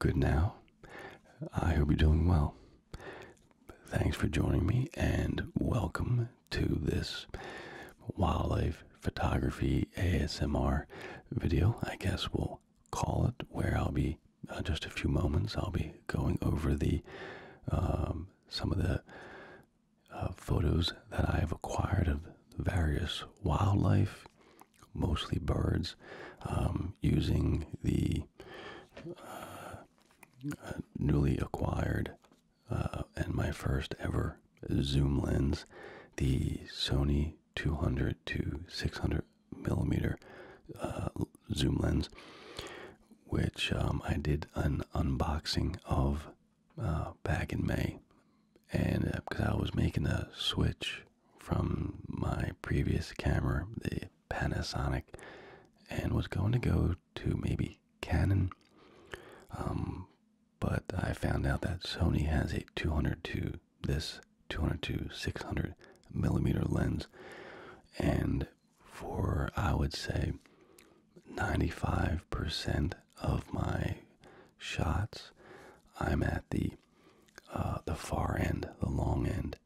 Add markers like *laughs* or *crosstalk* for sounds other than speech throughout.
Good now. I hope you're doing well. Thanks for joining me and welcome to this wildlife photography ASMR video. I guess we'll call it where I'll be uh, just a few moments. I'll be going over the um, some of the uh, photos that I have acquired of various wildlife mostly birds, um, using the uh, uh, newly acquired uh, and my first ever zoom lens, the Sony 200 to 600 millimeter zoom lens, which um, I did an unboxing of back in May and because uh, I was making a switch from my previous camera, the Panasonic, and was going to go to maybe Canon, um, but I found out that Sony has a 200 to this 200 to 600 millimeter lens, and for I would say 95% of my shots, I'm at the uh, the far end, the long end,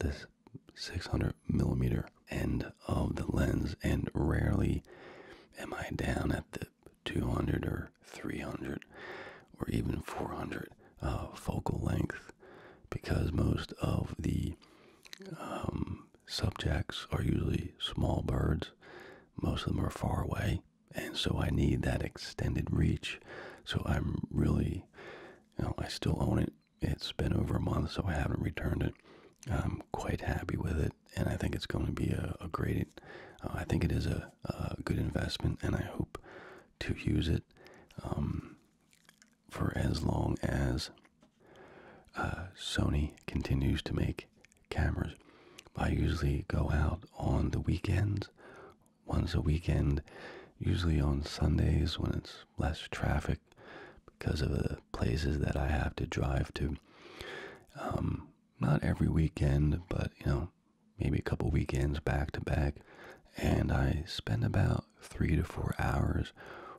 this 600 millimeter end of the lens, and rarely am I down at the 200 or 300 or even 400 uh, focal length because most of the um, subjects are usually small birds. Most of them are far away and so I need that extended reach. So I'm really, you know, I still own it. It's been over a month, so I haven't returned it. I'm quite happy with it, and I think it's going to be a, great. Uh, I think it is a, good investment, and I hope to use it um, for as long as uh, Sony continues to make cameras. I usually go out on the weekends once a weekend, usually on Sundays when it's less traffic because of the places that I have to drive to. Um, not every weekend, but you know, maybe a couple weekends back to back. And I spend about three to four hours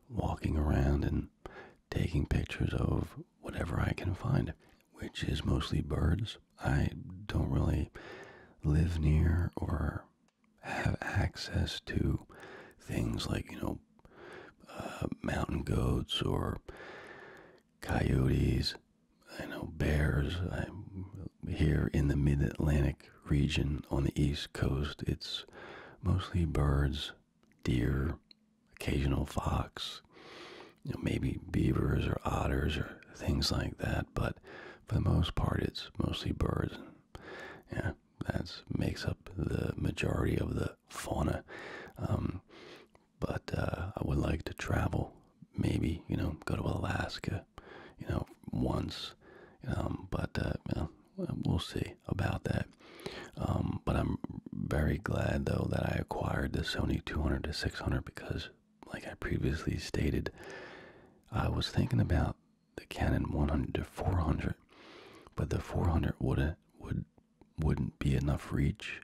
walking around and taking pictures of whatever I can find, which is mostly birds I don't really live near or have access to things like, you know, uh, mountain goats or coyotes. I know bears. I'm here in the mid Atlantic region on the East Coast. It's mostly birds, deer, occasional fox, maybe beavers or otters or things like that. But for the most part, it's mostly birds. Yeah, that makes up the majority of the fauna. Um, but uh, I would like to travel, maybe you know, go to Alaska, you know, once. Um, but uh, you we'll see about that. Um, but I'm very glad though that I acquired the Sony 200 to 600 because like I previously stated, I was thinking about the Canon 100 to 400, but the 400 would would wouldn't be enough reach,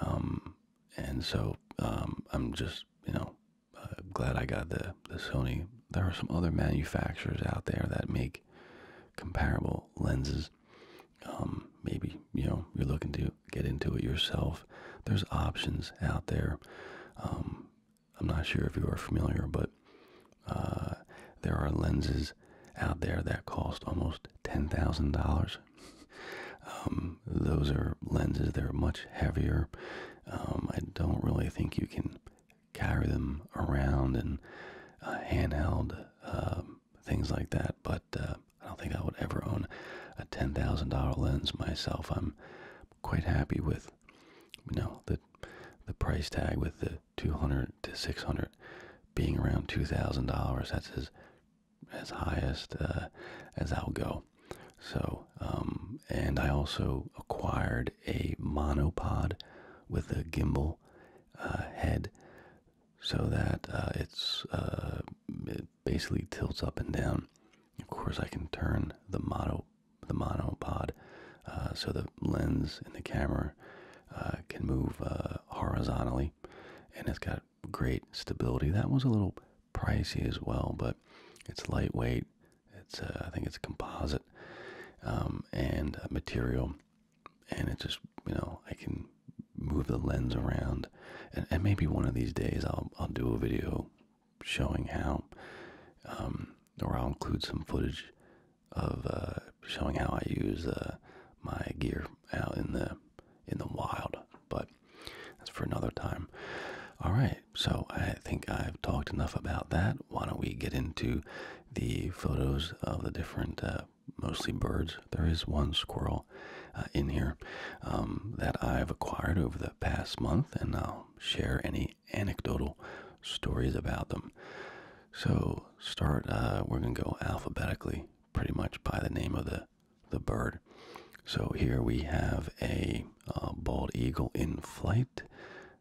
um, and so um, I'm just you know uh, glad I got the the Sony. There are some other manufacturers out there that make comparable lenses. Um, maybe you know you're looking to get into it yourself, there's options out there. Um, I'm not sure if you are familiar, but uh, there are lenses out there that cost almost $10,000. Um, those are lenses, they're much heavier. Um, I don't really think you can carry them around and uh, handheld things like that, but uh, I don't think I would ever own a $10,000 lens myself. I'm quite happy with. You know, the the price tag with the 200 to 600 being around $2,000. That's as as highest uh, as I'll go. So, um, and I also acquired a monopod with a gimbal uh, head so that uh, it's uh, basically tilts up and down. Of course, I can turn the mono the monopod uh, so the lens and the camera uh, can move uh, horizontally, and it's got great stability. That was a little pricey as well, but it's lightweight. It's uh, I think it's composite um, and material, and it just you know I can move the lens around, and, and maybe one of these days I'll I'll do a video showing how, um, or I'll include some footage of uh, showing how I use uh, my gear out in the in the wild. But that's for another time. All right, so I think I've talked enough about that. Why don't we get into the photos of the different, uh, mostly birds? There is one squirrel in here um, that I've acquired over the past month and I'll share any anecdotal stories about them. So start. Uh, we're gonna go alphabetically, pretty much by the name of the the bird. So here we have a bald eagle in flight.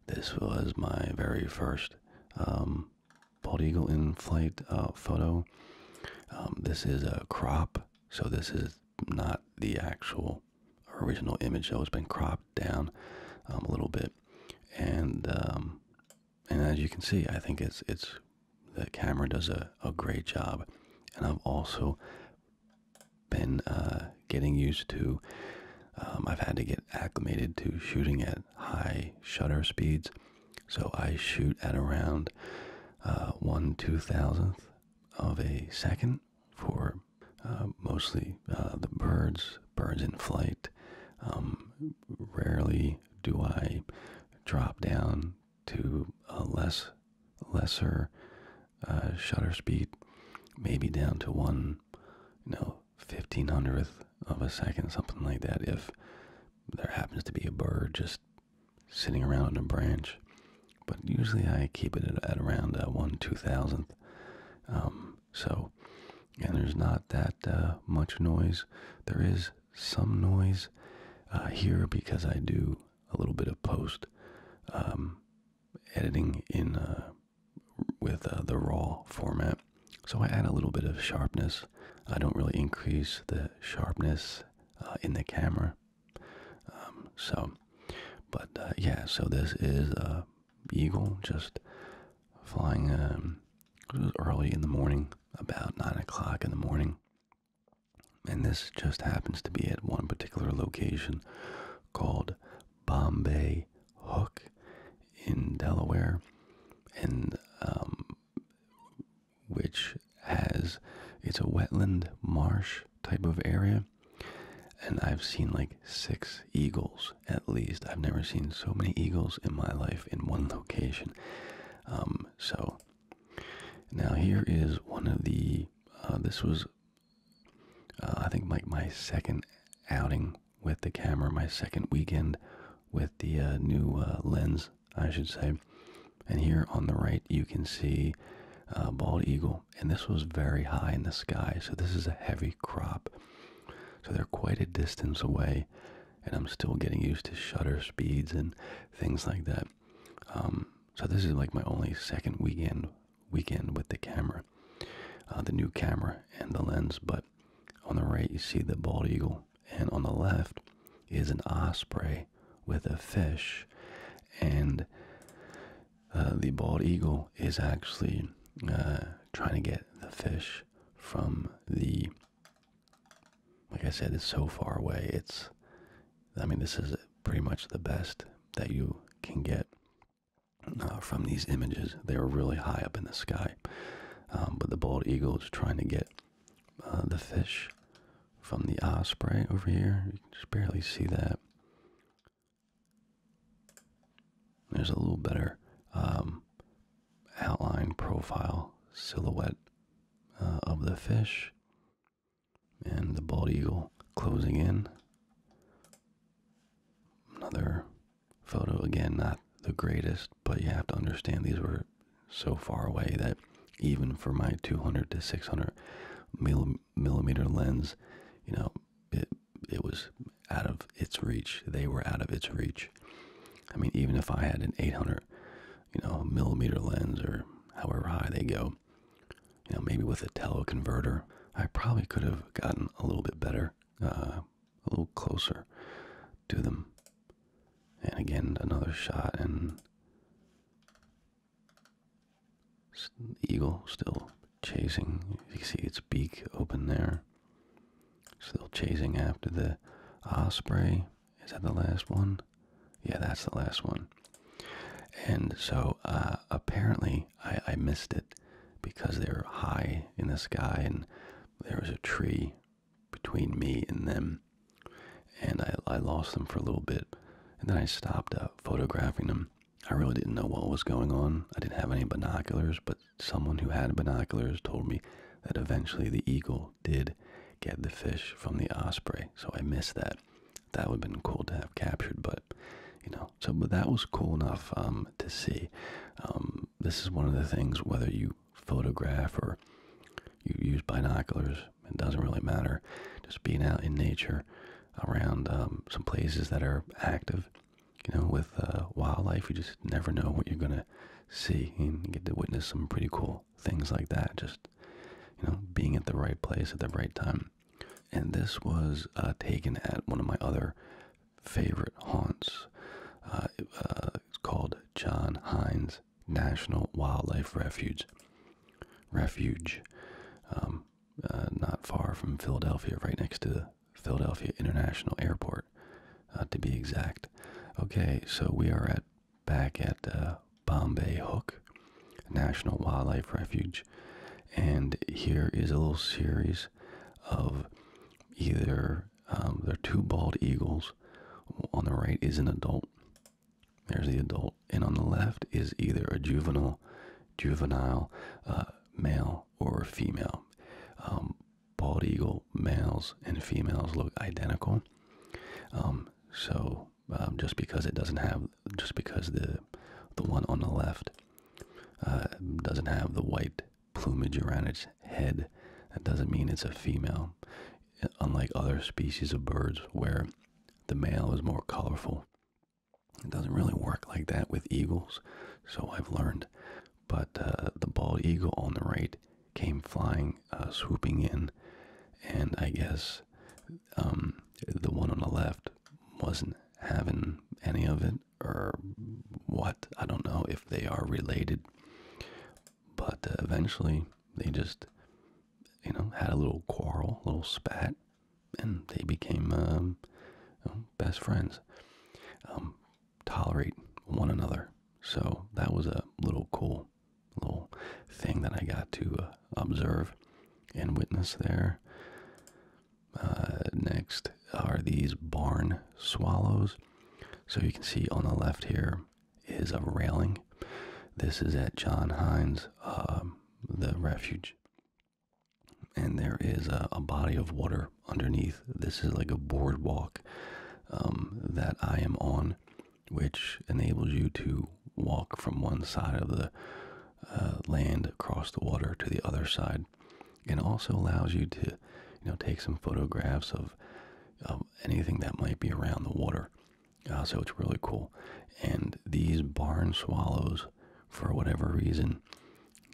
This was my very first um, bald eagle in flight uh, photo. Um, this is a crop, so this is not the actual our original image though has been cropped down um, a little bit, and um, and as you can see, I think it's it's the camera does a a great job, and I've also been uh, getting used to. Um, I've had to get acclimated to shooting at high shutter speeds, so I shoot at around uh, one two thousandth of a second, for uh, mostly uh, the birds, birds in flight. Um, rarely do I drop down to a less lesser uh, shutter speed, maybe down to one, you know, fifteen hundredth of a second, something like that. If there happens to be a bird just sitting around on a branch, but usually I keep it at, around uh, one two thousandth. Um, so, and there's not that uh, much noise. There is some noise uh, here because I do a little bit of post um, editing in with the raw format. So I add a little bit of sharpness. I don't really increase the sharpness in the camera, um, so, but uh, yeah, so this is a uh, eagle just flying um, early in the morning, about nine o'clock in the morning. And this just happens to be at one particular location called Bombay Hook in Delaware, and um, which has it's a wetland marsh type of area, and I've seen like six eagles at least. I've never seen so many eagles in my life in one location. Um, so now here is one of the. Uh, this was, uh, I think, like my, second outing with the camera, my second weekend with the uh, new lens, I should say. And here on the right, you can see a bald eagle and this was very high in the sky, so this is a heavy crop. So they're quite a distance away, and I'm still getting used to shutter speeds and things like that. Um, so this is like my only second weekend weekend with the camera, uh, the new camera and the lens. But on the right you see the bald eagle, and on the left is an osprey with a fish, and uh, the bald eagle is actually uh, trying to get the fish from the. Like I said, it's so far away. It's, I mean, this is pretty much the best that you can get uh, from these images. They are really high up in the sky, um, but the bald eagle is trying to get the fish from the osprey over here. You can just barely see that. There's a little better um, outline, profile, silhouette uh, of the fish, and the bald eagle closing in. Another photo, again, not the greatest, but you have to understand these were so far away that even for my 200 to 600 millimeter millimeter lens, you know, it it was out of its reach. They were out of its reach. I mean, even if I had an 800, you know, millimeter lens or however high they go, you know, maybe with a teleconverter, I probably could have gotten a little bit better, uh, a little closer to them. And again, another shot, and the eagle still chasing. You can see its beak open there. Still chasing after the osprey. Is that the last one? Yeah, that's the last one. And so uh, apparently I, missed it because they were high in the sky and there was a tree between me and them. And I, lost them for a little bit. And then I stopped uh, photographing them. I really didn't know what was going on. I didn't have any binoculars, but someone who had binoculars told me that eventually the eagle did get the fish from the osprey. So I missed that. That would have been cool to have captured, but you know, so but that was cool enough um, to see. Um, this is one of the things whether you photograph or you use binoculars, it doesn't really matter. Just being out in nature around um, some places that are active. You know, with uh, wildlife, you just never know what you're gonna see, and get to witness some pretty cool things like that. Just you know, being at the right place at the right time. And this was uh, taken at one of my other favorite haunts. Uh, it's called John Hines National Wildlife Refuge. Refuge. Um, uh, not far from Philadelphia, right next to Philadelphia International Airport, uh, to be exact. Okay, so we are at back at uh, Bombay Hook National Wildlife Refuge, and here is a little series of either um, there are two bald eagles. On the right is an adult, there's the adult, and on the left is either a juvenile, juvenile, uh, male, or female. Um, bald eagle males and females look identical. Um, so um, just because it doesn't have, just because the the one on the left uh, doesn't have the white plumage around its head, that doesn't mean it's a female. Unlike other species of birds, where the male is more colorful it doesn't really work like that with eagles, so I've learned. But uh, the bald eagle on the right came flying, uh, swooping in, and I guess um, the one on the left wasn't having any of it, or what. I don't know if they are related, but uh, eventually they just, you know, had a little quarrel, little spat, and they became um, best friends. Um, tolerate one another. So that was a little cool little thing that I got to uh, observe and witness there. Uh, next are these barn swallows. So you can see on the left here is a railing. This is at John Hines, um, the refuge and there is a, body of water underneath. This is like a boardwalk um, that I am on, which enables you to walk from one side of the uh, land across the water to the other side, and also allows you to, you know, take some photographs of, anything that might be around the water. Uh, so it's really cool. And these barn swallows for whatever reason.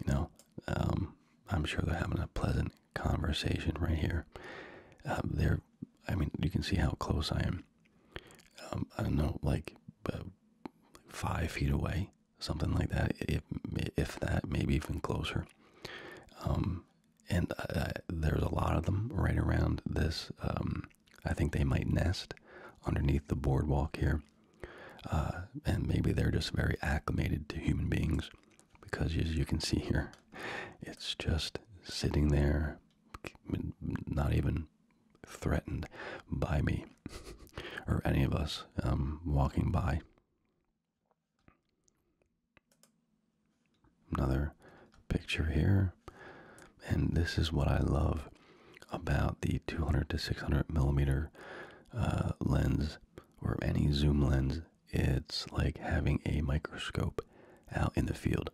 You know, um, I'm sure they're having a pleasant conversation right here. Um, they're, I mean, you can see how close I am. Um, I don't know, like uh, five feet away, something like that. If if that, maybe even closer. and there's a lot of them right around this I think they might nest underneath the boardwalk here. Uh, and maybe they're just very acclimated to human beings because, as you can see here, it's just sitting there, not even threatened by me *laughs* or any of us um, walking by. Another picture here and this is what I love about the 200 to 600 millimeter uh, lens or any zoom lens. It's like having a microscope out in the field.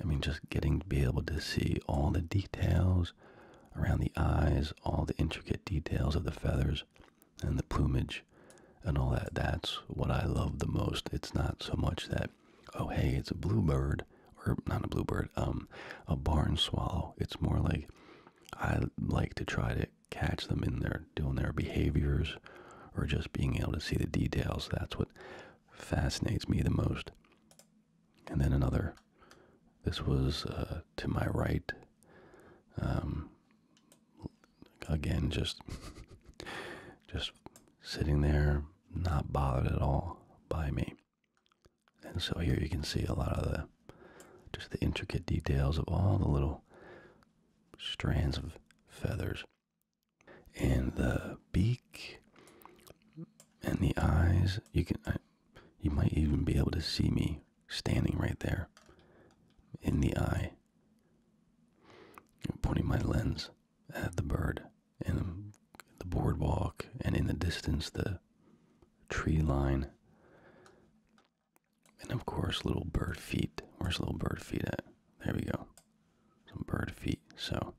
I mean, just getting to be able to see all the details around the eyes, all the intricate details of the feathers and the plumage and all that. That's what I love the most. It's not so much that, oh, hey, it's a bluebird or not a bluebird, um, a barn swallow. It's more like I like to try to catch them in their doing their behaviors or just being able to see the details. That's what fascinates me the most. And then another, this was uh, to my right. Um, again, just *laughs* just sitting there, not bothered at all by me. And so here you can see a lot of the just the intricate details of all the little strands of feathers and the beak and the eyes you can you might even be able to see me standing right there in the eye pointing my lens at the bird and the boardwalk, and in the distance, the tree line. And of course, little bird feet. Where's little bird feet at? There we go. Some bird feet. So,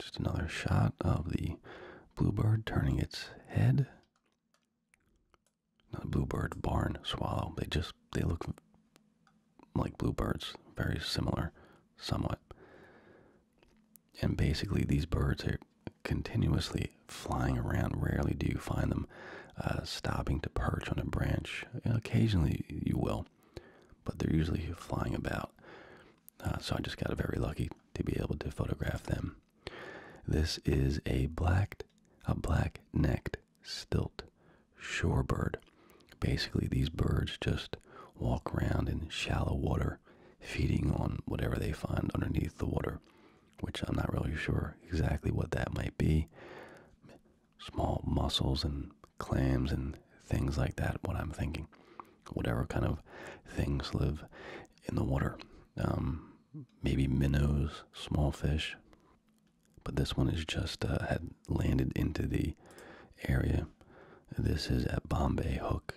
just another shot of the bluebird turning its head. Not bluebird, barn swallow. They just they look like bluebirds, very similar, somewhat. And basically, these birds are continuously flying around. Rarely do you find them uh, stopping to perch on a branch. Occasionally, you will, but they're usually flying about. Uh, so I just got very lucky to be able to photograph them. This is a black, a black-necked stilt shorebird. Basically, these birds just walk around in shallow water, feeding on whatever they find underneath the water, which I'm not really sure exactly what that might be. Small mussels and clams and things like that, what I'm thinking. Whatever kind of things live in the water. Um, maybe minnows, small fish. But this one has just uh, had landed into the area this is at Bombay Hook.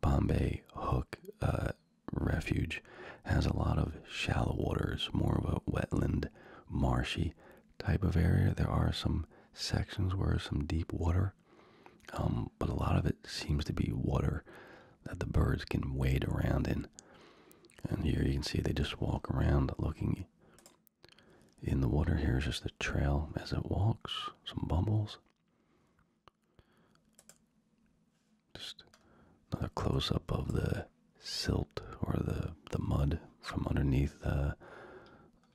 Bombay Hook uh, Refuge has a lot of shallow waters, more of a wetland, marshy type of area. There are some sections where some deep water, um, but a lot of it seems to be water that the birds can wade around in. And here you can see they just walk around looking in the water here is just the trail as it walks, some bubbles. Just another close up of the silt or the the mud from underneath uh,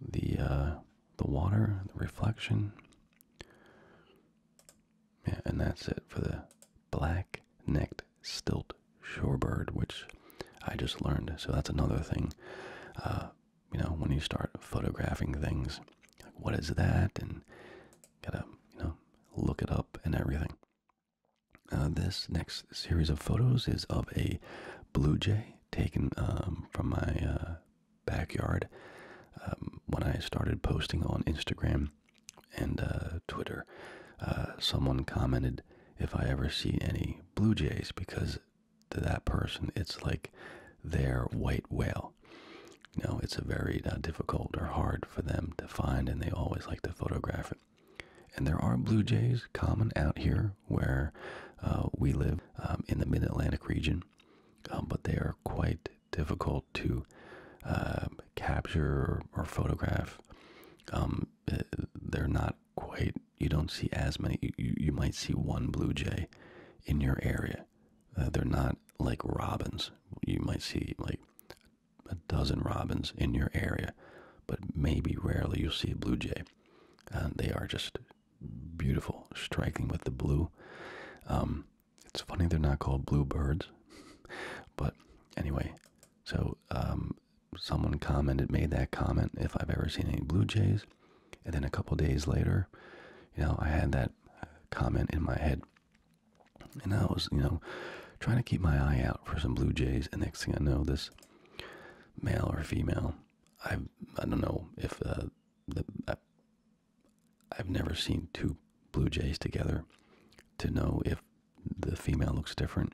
the uh, the water, the reflection. Yeah, and that's it for the black-necked stilt shorebird, which I just learned. So that's another thing. Uh, you know, when you start photographing things, what is that? And gotta, you know, look it up and everything. Uh, this next series of photos is of a blue jay taken um, from my uh, backyard um, when I started posting on Instagram and uh, Twitter. someone commented if I ever see any blue jays because to that person, it's like their white whale. You know, it's a very uh, difficult or hard for them to find, and they always like to photograph it. And there are blue jays common out here where uh, we live um, in the mid Atlantic region, um, but they are quite difficult to uh, capture or, photograph. Um, eh, they're not quite you don't see as many you, you might see one blue jay in your area uh, they're not like robins you might see like a dozen robins in your area but maybe rarely you'll see a blue jay uh, they are just beautiful striking with the blue um, it's funny they're not called blue birds *laughs* but anyway so um, someone commented made that comment if i've ever seen any blue jays and then a couple days later, you know, I had that comment in my head. And I was, you know, trying to keep my eye out for some blue jays. And next thing I know, this male or female, I I don't know if uh, the, I've never seen two blue jays together to know if the female looks different,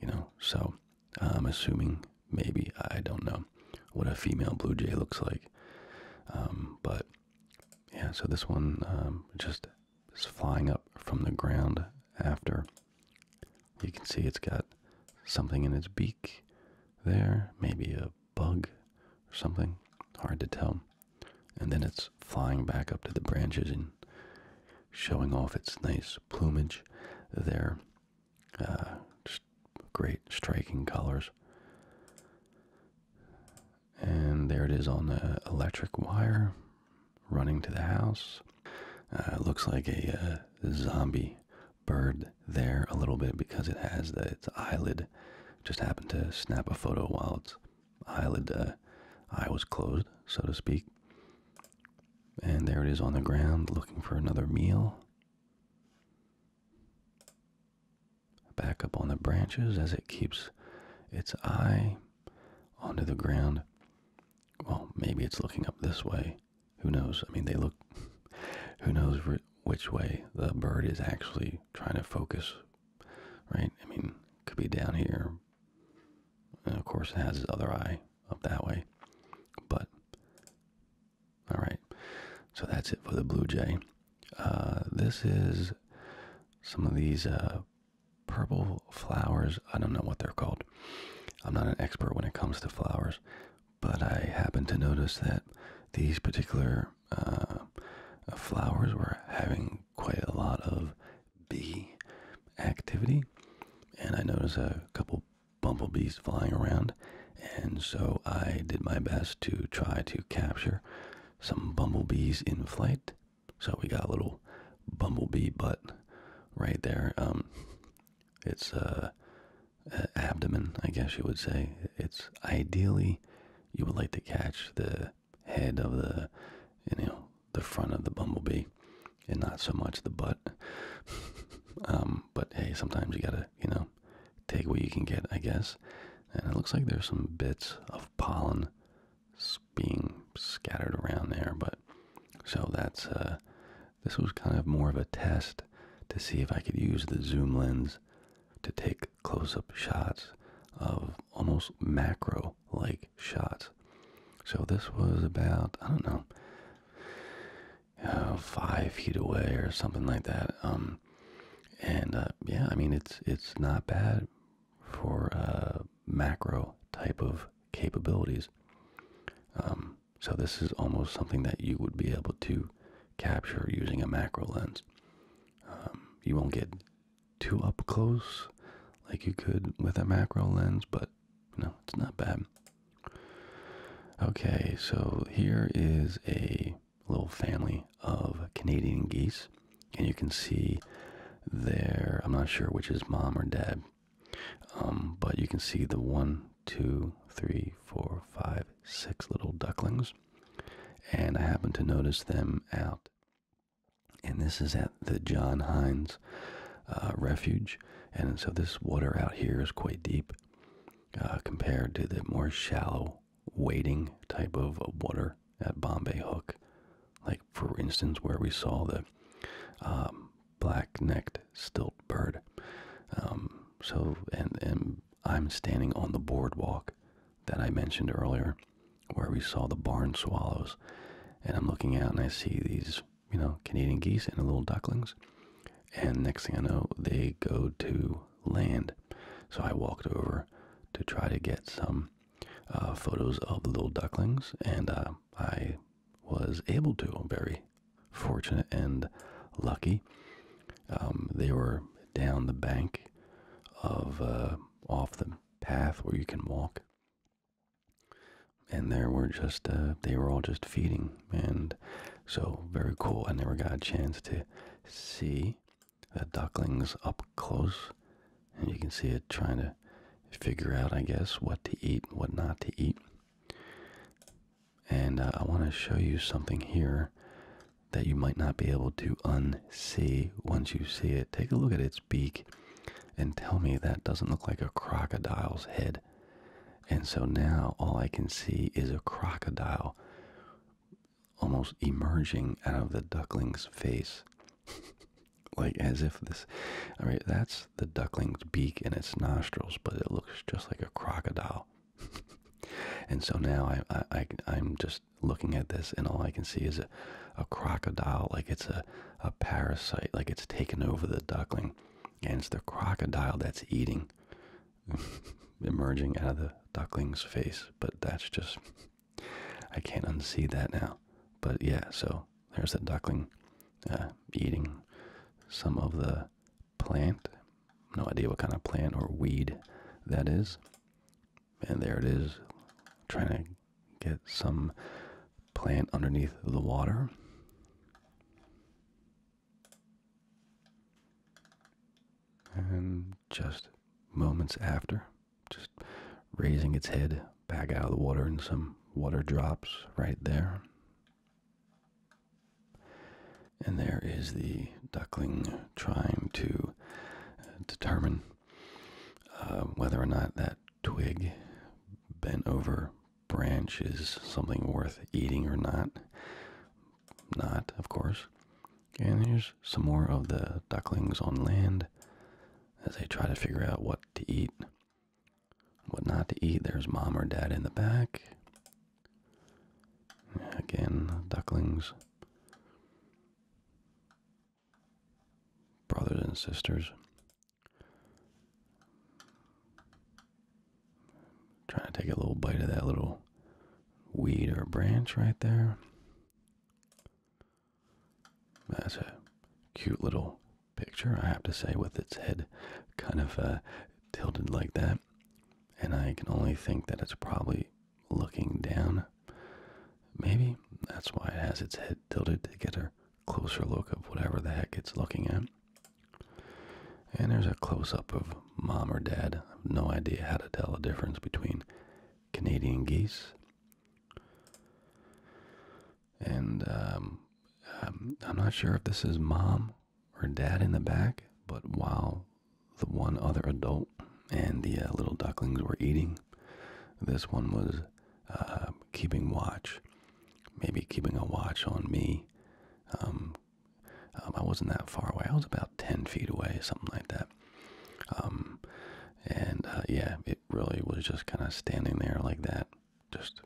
you know. So I'm assuming, maybe, I don't know what a female blue jay looks like. Um, but yeah, so this one um, just is flying up from the ground after. You can see it's got something in its beak there, maybe a bug or something, hard to tell. And then it's flying back up to the branches and showing off its nice plumage there. Uh, just great striking colors. And there it is on the electric wire running to the house. Uh, looks like a uh, zombie bird there a little bit because it has the, its eyelid. Just happened to snap a photo while its eyelid eye was closed, so to speak. And there it is on the ground looking for another meal. Back up on the branches as it keeps its eye onto the ground. Well, maybe it's looking up this way. Who knows? I mean, they look. *laughs* Who knows which way the bird is actually trying to focus, right? I mean, could be down here. of course, it has its other eye up that way. But all right. So that's it for the blue jay. Uh, this is some of these uh, purple flowers. I don't know what they're called. I'm not an expert when it comes to flowers, but I happened to notice that these particular uh, flowers were having quite a lot of bee activity. And I noticed a couple bumblebees flying around, and so I did my best to try to capture some bumblebees in flight. So we got a little bumblebee butt right there. Um, it's uh, abdomen, I guess you would say. It's ideally you would like to catch the head of the, you know, the front of the bumblebee, and not so much the butt. *laughs* um, but hey, sometimes you gotta, you know, take what you can get, I guess. And it looks like there's some bits of pollen being scattered around there, but so that's uh, this was kind of more of a test to see if I could use the zoom lens to take close-up shots of almost macro-like shots. So this was about I don't know. Uh, five feet away or something like that. Um, and uh, yeah, I mean it's it's not bad for uh, macro type of capabilities. Um, so this is almost something that you would be able to capture using a macro lens. Um, you won't get too up close like you could with a macro lens, but you know it's not bad. Okay, so here is a little family of Canadian geese, and you can see there, I'm not sure which is mom or dad, um, but you can see the one, two, three, four, five, six little ducklings, and I happen to notice them out. And this is at the John Hines uh, Refuge, and so this water out here is quite deep. Uh, compared to the more shallow wading type of, water at Bombay Hook. Like, for instance, where we saw the um, black necked stilt bird. Um, so, and, and I'm standing on the boardwalk that I mentioned earlier, where we saw the barn swallows. And I'm looking out and I see these you know, Canadian geese and the little ducklings. And next thing I know, they go to land. So I walked over to try to get some uh, photos of the little ducklings, and uh, I was able to. very fortunate and lucky. Um, they were down the bank of uh, off the path where you can walk, and there were just they were all just feeding, and so very cool. I never got a chance to see the ducklings up close, and you can see it trying to figure out, I guess, what to eat, what not to eat. And uh, I want to show you something here that you might not be able to unsee once you see it. Take a look at its beak and tell me that doesn't look like a crocodile's head. And so now all I can see is a crocodile almost emerging out of the duckling's face. *laughs* like as if this, all right, that's the duckling's beak and its nostrils, but it looks just like a crocodile. *laughs* and so now I, I, I'm just looking at this and all I can see is a, a crocodile, like it's a, a parasite, like it's taken over the duckling. And it's the crocodile that's eating *laughs* emerging out of the duckling's face, but that's just I can't unsee that now. But yeah, so there's the duckling uh, eating some of the plant. No idea what kind of plant or weed that is. And there it is, trying to get some plant underneath the water. And just moments after, just raising its head back out of the water, and some water drops right there. And there is the duckling trying to uh, determine uh, whether or not that twig bent over branch is something worth eating or not. Not, of course. And here's some more of the ducklings on land as they try to figure out what to eat, what not to eat. There's mom or dad in the back. Again, ducklings. Brothers and sisters. Trying to take a little bite of that little weed or branch right there. That's a cute little picture, I have to say, with its head kind of uh, tilted like that. And I can only think that it's probably looking down. Maybe that's why it has its head tilted to get a closer look of whatever the heck it's looking at. And there's a close up of mom or dad. I have no idea how to tell the difference between Canadian geese and um, um, I'm not sure if this is mom or dad in the back, but while the one other adult and the uh, little ducklings were eating, this one was uh, keeping watch, maybe keeping a watch on me. Um, um, I wasn't that far away. I was about 10 feet away, something like that. Um, and uh, yeah, it really was just kind of standing there like that, just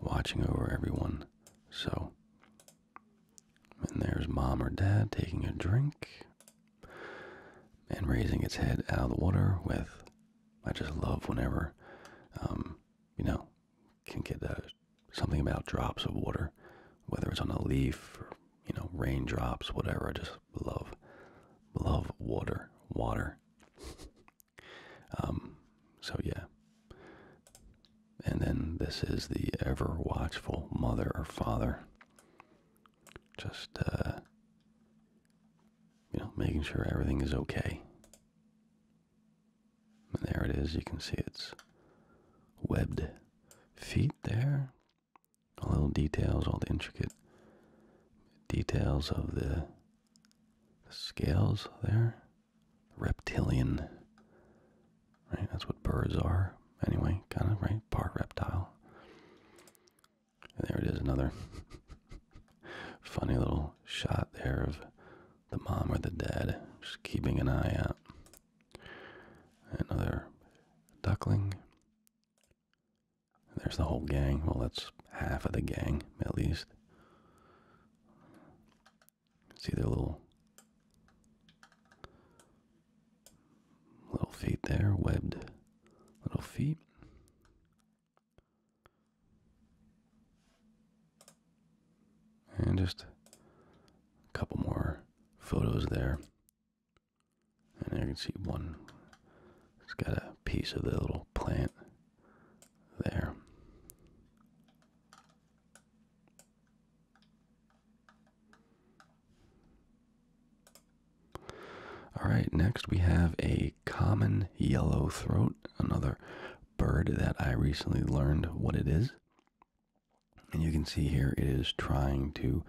watching over everyone. So, and there's mom or dad taking a drink and raising its head out of the water with. I just love whenever, um, you know, can get uh, something about drops of water, whether it's on a leaf or you know raindrops, whatever. I just love, love water, water. *laughs* um, so yeah. And then this is the ever watchful mother or father, just uh, you know making sure everything is okay. And there it is. You can see its webbed feet there. All the details, all the intricate details of the, the scales there. Reptilian. Right? That's what birds are. Anyway, kind of, right? Part reptile. And there it is, another *laughs* funny little shot there of the mom or the dad, just keeping an eye out. Another duckling. There's the whole gang. Well, that's half of the gang, at least. See their little little feet there, webbed little feet. And just a couple more photos there. And there you can see one. It's got a piece of the little plant there. All right, next we have a common yellow throat, another bird that I recently learned what it is. And you can see here it is trying to,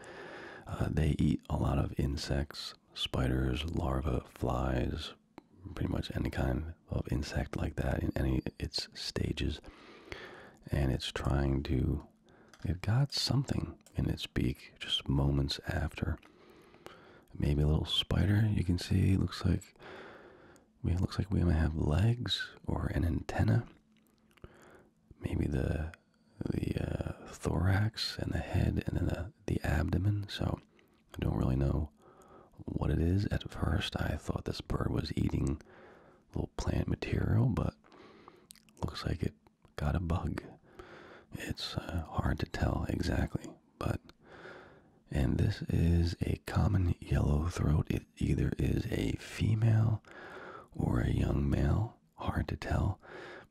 uh, they eat a lot of insects, spiders, larvae, flies, pretty much any kind of insect like that in any its stages. And it's trying to, it got something in its beak just moments after. Maybe a little spider, you can see, looks like we it looks like we might have legs or an antenna. Maybe the the uh, thorax and the head and then the the abdomen. So I don't really know what it is. At first, I thought this bird was eating little plant material, but looks like it got a bug. It's uh, hard to tell exactly, but and this is a common yellow throat. It either is a female or a young male, hard to tell.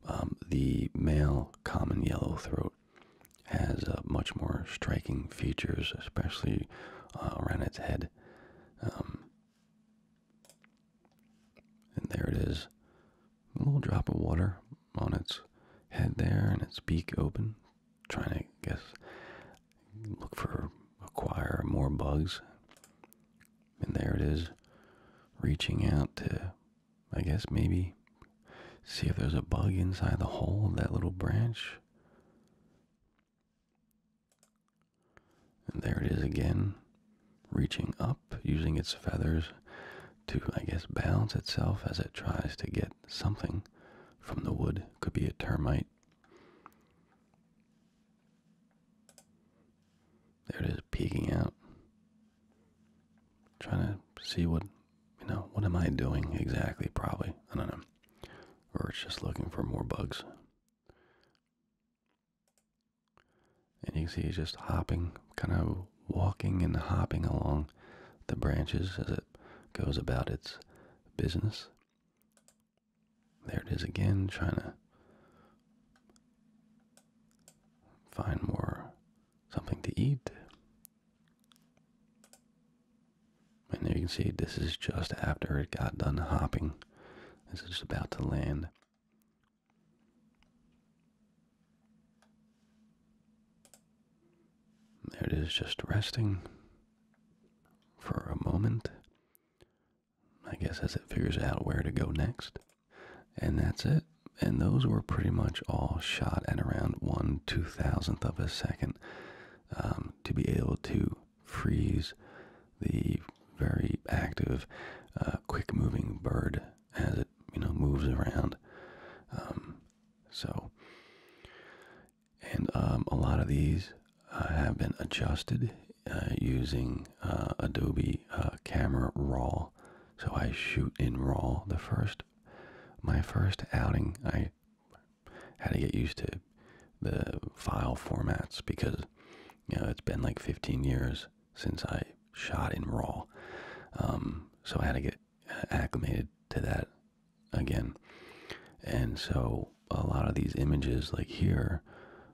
Um, the male common yellow throat has uh, much more striking features, especially uh, around its head. Um, and there it is. A little drop of water on its head there and its beak open. trying to guess look for acquire more bugs. And there it is, reaching out to, I guess, maybe see if there's a bug inside the hole of that little branch. And there it is again, reaching up, using its feathers to, I guess, balance itself as it tries to get something from the wood. Could be a termite, there it is, peeking out. Trying to see what, you know, what am I doing exactly, probably. I don't know. Or it's just looking for more bugs. And you can see it's just hopping, kind of walking and hopping along the branches as it goes about its business. There it is again, trying to find more something to eat. And you can see this is just after it got done hopping. This is about to land. There it is, just resting for a moment. I guess as it figures out where to go next. And that's it. And those were pretty much all shot at around one two thousandth of a second um, to be able to freeze the very active, uh, quick-moving bird as it you know moves around. Um, so and um, a lot of these uh, have been adjusted uh, using uh, Adobe Camera Raw. So I shoot in Raw. The first, my first outing, I had to get used to the file formats because you know it's been like 15 years since I shot in Raw. Um, so I had to get acclimated to that again. And so a lot of these images, like here,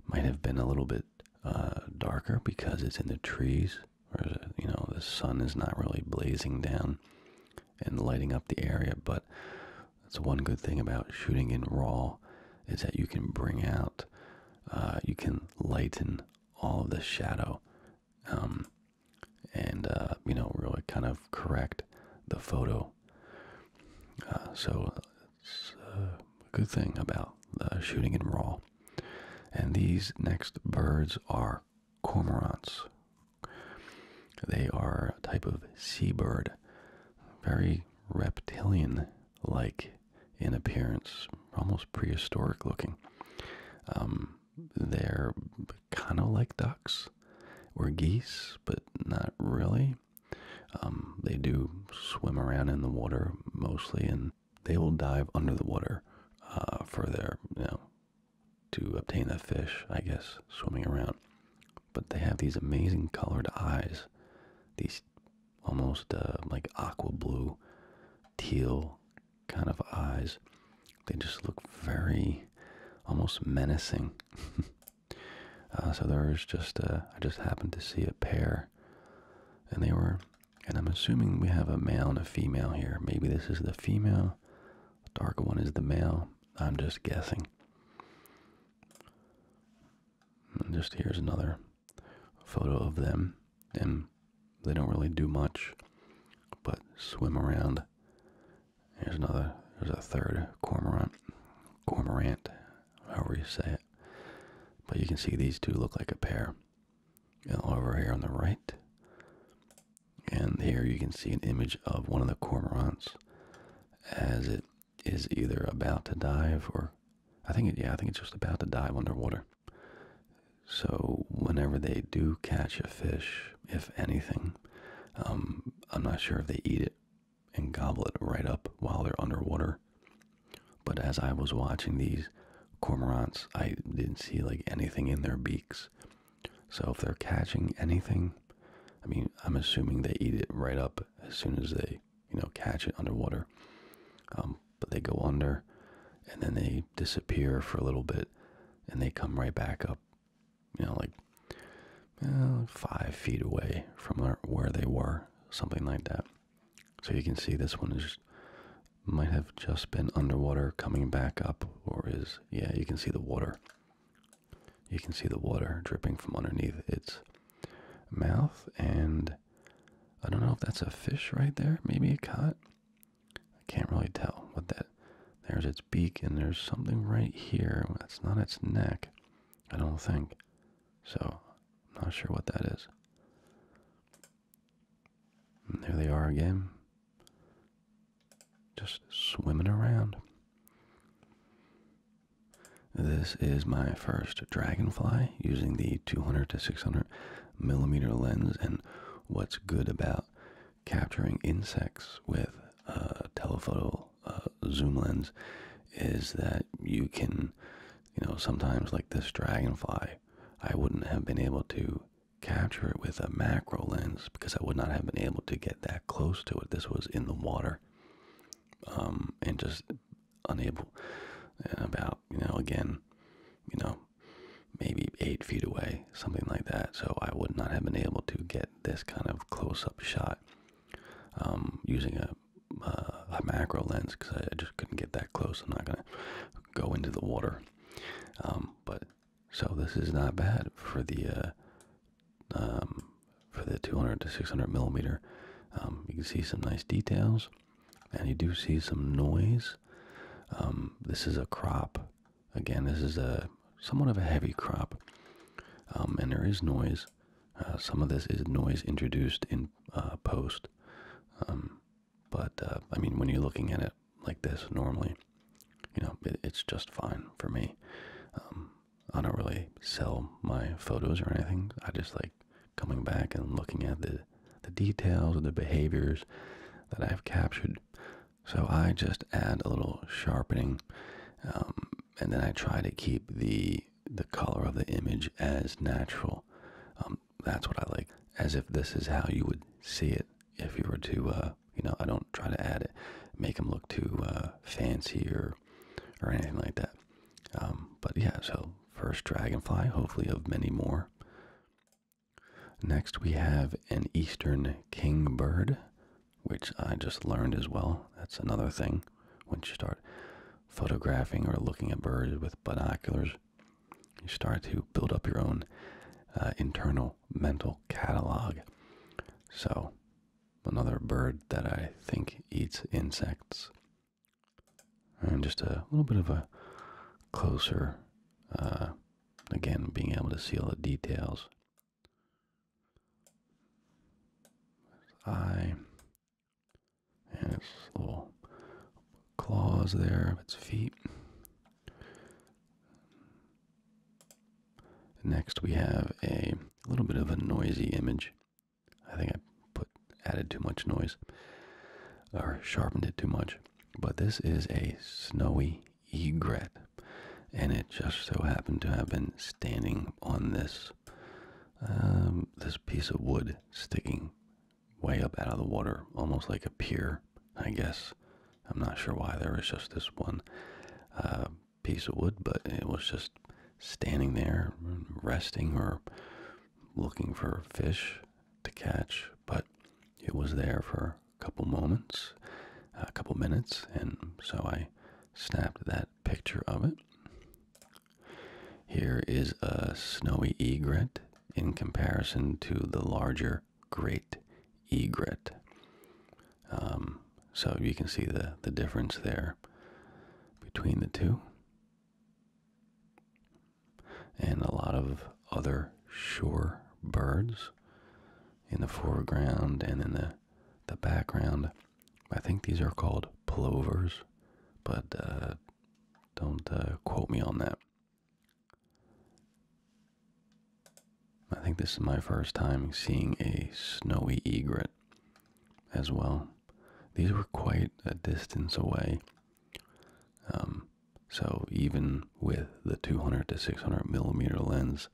might have been a little bit uh, darker because it's in the trees, or you know, the sun is not really blazing down and lighting up the area. But that's one good thing about shooting in RAW is that you can bring out, uh, you can lighten all of the shadow, um, and uh, you know, really kind of correct the photo uh, so it's uh, a good thing about uh, shooting in raw. And these next birds are cormorants. They are a type of seabird, very reptilian like in appearance, almost prehistoric looking. Um, they're kind of like ducks or geese but not really. Um, they do swim around in the water mostly, and they will dive under the water uh, for their, you know, to obtain the fish, I guess, swimming around. But they have these amazing colored eyes, these almost uh, like aqua blue, teal kind of eyes. They just look very almost menacing. *laughs* Uh, so there's just uh, I just happened to see a pair, and they were, and I'm assuming we have a male and a female here. Maybe this is the female, the dark one is the male. I'm just guessing. just here's another photo of them, and they don't really do much, but swim around there's another. There's a third cormorant, cormorant, however you say it. But you can see these two look like a pair. over here on the right, and here you can see an image of one of the cormorants as it is either about to dive or I think yeah, I think it's just about to dive underwater. So whenever they do catch a fish, if anything, um, I'm not sure if they eat it and gobble it right up while they're underwater. But as I was watching these cormorants, I didn't see like anything in their beaks. So if they're catching anything, I mean, I'm assuming they eat it right up as soon as they, you know, catch it underwater. Um, but they go under and then they disappear for a little bit and they come right back up you know, like five feet away from where they were, something like that. So you can see this one is might have just been underwater, coming back up, or is yeah, you can see the water. You can see the water dripping from underneath its mouth, and I don't know if that's a fish right there, maybe a cat. I can't really tell what that there's its beak, and there's something right here. That's not its neck, I don't think. So, I'm not sure what that is. there they are again, just swimming around. This is my first dragonfly using the 200 to 600 millimeter lens, and what's good about capturing insects with a uh, telephoto uh, zoom lens is that you can, you know, sometimes like this dragonfly, I wouldn't have been able to capture it with a macro lens because I would not have been able to get that close to it. This was in the water, um, and just unable. And uh, about you know again, you know, maybe eight feet away, something like that. So I would not have been able to get this kind of close-up shot um, using a, macro lens because I just couldn't get that close. I'm not gonna go into the water, um, but so this is not bad for the uh, um, for the 200 to 600 millimeter. you can see some nice details, and you do see some noise. this is a crop. Again, this is a somewhat of a heavy crop, um, and there is noise. Uh, some of this is noise introduced in uh, post, um, but uh, I mean, when you're looking at it like this normally, you know, it's just fine for me. Um, I don't really sell my photos or anything. I just like coming back and looking at the the details of the behaviors that I've captured. So I just add a little sharpening and then I try to keep the the color of the image as natural. Um, that's what I like, as if this is how you would see it if you were to, uh, you know, I don't try to add it, make them look too uh, fancy or or anything like that. Um, but yeah, so first dragonfly, hopefully of many more. Next we have an eastern kingbird which I just learned as well. That's another thing once you start photographing or looking at birds with binoculars, you start to build up your own uh, internal mental catalog. So, another bird that I think eats insects. And just a little bit of a closer, uh, again, being able to see all the details eye and its little claws there of its feet. Next, we have a little bit of a noisy image. I think I put added too much noise or sharpened it too much. But this is a snowy egret and it just so happened to have been standing on this um, this piece of wood sticking way up out of the water, almost like a pier, I guess. I'm not sure why there was just this one uh, piece of wood, but it was just standing there, resting or looking for fish to catch. But it was there for a couple moments, a couple minutes, and so I snapped that picture of it. Here is a snowy egret in comparison to the larger great egret. Um, so you can see the, the difference there between the two. And a lot of other shore birds in the foreground and in the the background. I think these are called plovers, but uh, don't uh, quote me on that. I think this is my first time seeing a snowy egret as well. These were quite a distance away. Um, so even with the 200 to 600 millimeter lens,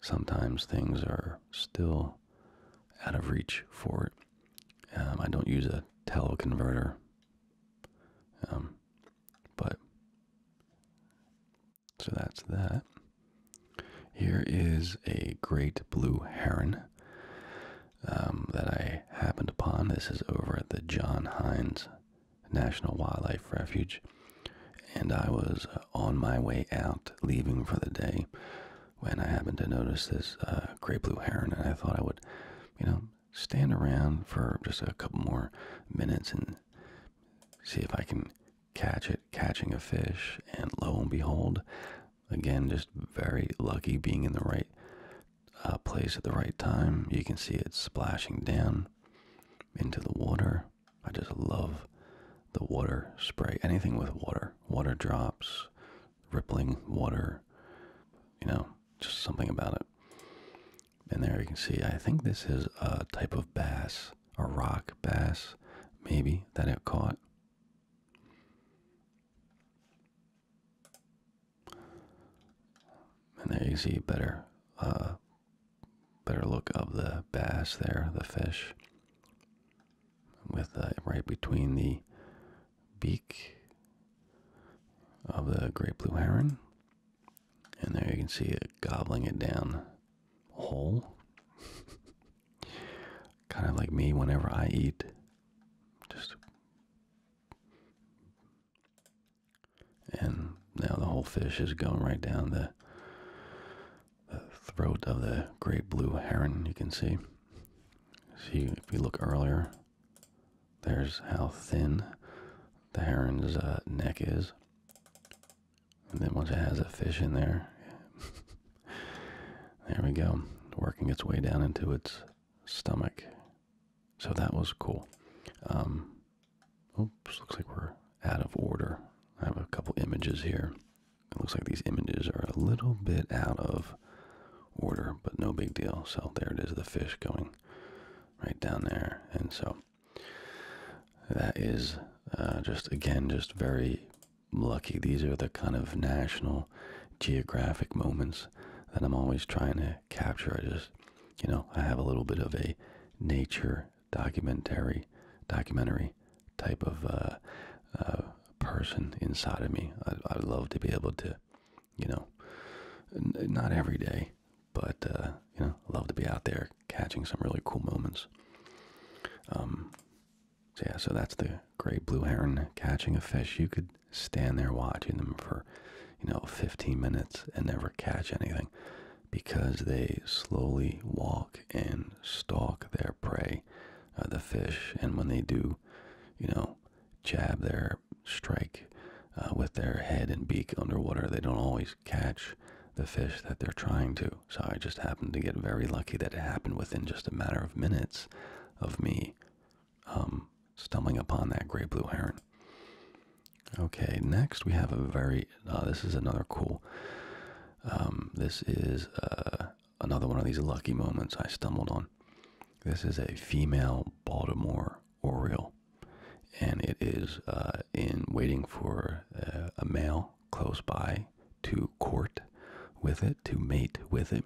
sometimes things are still out of reach for it. Um, I don't use a teleconverter, um, but so that's that. Here is a great blue heron um, that I happened upon. This is over at the John Hines National Wildlife Refuge, and I was uh, on my way out, leaving for the day, when I happened to notice this uh, great blue heron, and I thought I would, you know, stand around for just a couple more minutes and see if I can catch it, catching a fish, and lo and behold, again, just very lucky being in the right uh, place at the right time. You can see it splashing down into the water. I just love the water spray. Anything with water, water drops, rippling water, you know, just something about it. And there you can see, I think this is a type of bass, a rock bass, maybe, that it caught. And there you see better uh, better look of the bass there, the fish, with uh, right between the beak of the great blue heron. And there you can see it gobbling it down whole. *laughs* kind of like me whenever I eat. Just. And now the whole fish is going right down the the throat of the great blue heron, you can see. See, if you look earlier, there's how thin the heron's uh, neck is. And then once it has a fish in there, *laughs* there we go, working its way down into its stomach. So that was cool. Um, Oops, looks like we're out of order. I have a couple images here. It looks like these images are a little bit out of order, but no big deal. So there it is, the fish going right down there. And so that is uh, just, again, just very lucky. These are the kind of national geographic moments that I'm always trying to capture. I just, you know, I have a little bit of a nature documentary documentary type of uh, uh, person inside of me. I, would love to be able to, you know, not every day, but uh, you know, love to be out there catching some really cool moments. Um, so yeah, so that's the great blue heron catching a fish. You could stand there watching them for, you know, 15 minutes and never catch anything because they slowly walk and stalk their prey, uh, the fish. And when they do, you know, jab their strike uh, with their head and beak underwater, they don't always catch the fish that they're trying to. So I just happened to get very lucky that it happened within just a matter of minutes of me um, stumbling upon that gray blue heron. Okay, next we have a very, uh, this is another cool um, this is uh, another one of these lucky moments I stumbled on. This is a female Baltimore Oriole, and it is uh, in waiting for uh, a male close by to court with it, to mate with it.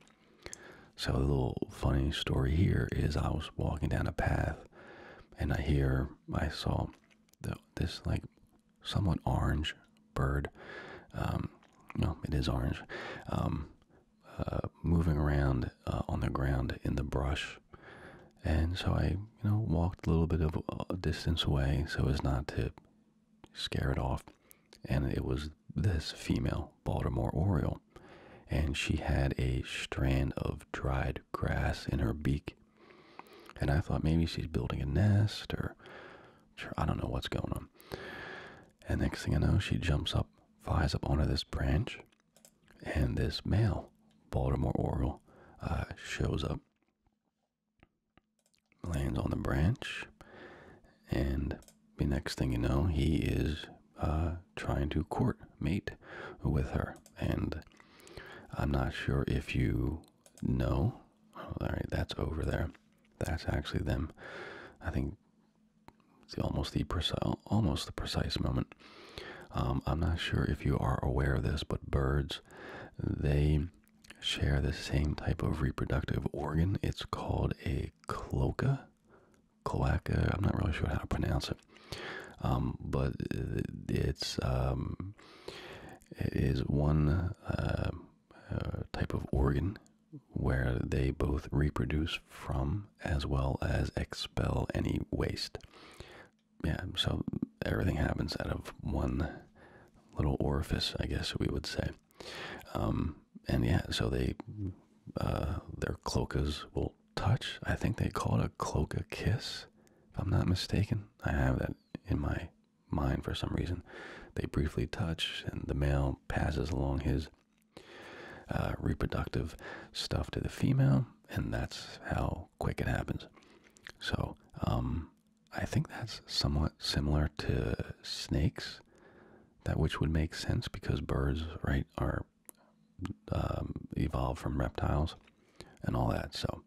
So, a little funny story here is I was walking down a path and I hear, I saw this like somewhat orange bird. no, um, it is orange. Um, uh, moving around uh, on the ground in the brush, and so I, you know, walked a little bit of a distance away so as not to scare it off. And it was this female Baltimore Oriole, and she had a strand of dried grass in her beak and I thought maybe she's building a nest or I don't know what's going on. And next thing I know, she jumps up, flies up onto this branch, and this male Baltimore Oriole uh, shows up, lands on the branch, and the next thing you know, he is uh, trying to court mate with her. And I'm not sure if you no. All right, that's over there. That's actually them. I think it's almost the precise, almost the precise moment. Um, I'm not sure if you are aware of this, but birds, they share the same type of reproductive organ. It's called a cloaca. Cloaca. I'm not really sure how to pronounce it, um, but it's um, it is one uh, uh, type of organ where they both reproduce from as well as expel any waste. Yeah, so everything happens out of one little orifice, I guess we would say. Um, and yeah, so they uh, their cloacas will touch. I think they call it a cloaca kiss, if I'm not mistaken. I have that in my mind for some reason. They briefly touch, and the male passes along his uh, reproductive stuff to the female, and that's how quick it happens. So, um, I think that's somewhat similar to snakes, that which would make sense because birds, right, are um, evolved from reptiles and all that. So,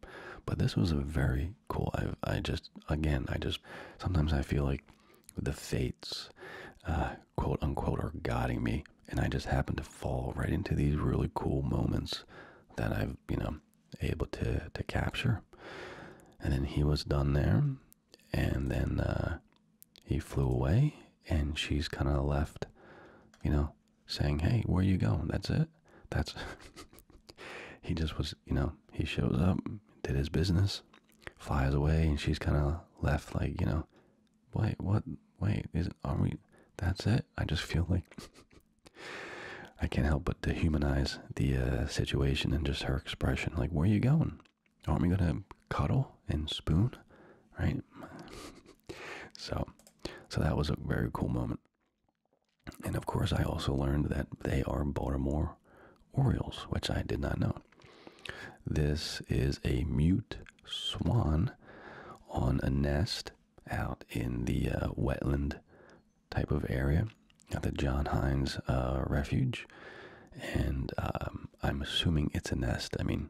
but this was a very cool. I just again I just sometimes I feel like the fates, uh, quote unquote, are guiding me, and I just happen to fall right into these really cool moments that I've you know able to to capture. And then he was done there, and then uh, he flew away, and she's kind of left, you know, saying, "Hey, where you going?" That's it that's *laughs* he just was, you know, he shows up, did his business, flies away, and she's kind of left like, you know, wait, what? Wait, is it? are we? That's it. I just feel like *laughs* I can't help but dehumanize the uh, situation and just her expression. Like, where are you going? Aren't we gonna cuddle and spoon, right? *laughs* so, so that was a very cool moment. And of course, I also learned that they are Baltimore Orioles, which I did not know. This is a mute swan on a nest out in the uh, wetland type of area at the John Hines uh, Refuge. And um, I'm assuming it's a nest. I mean,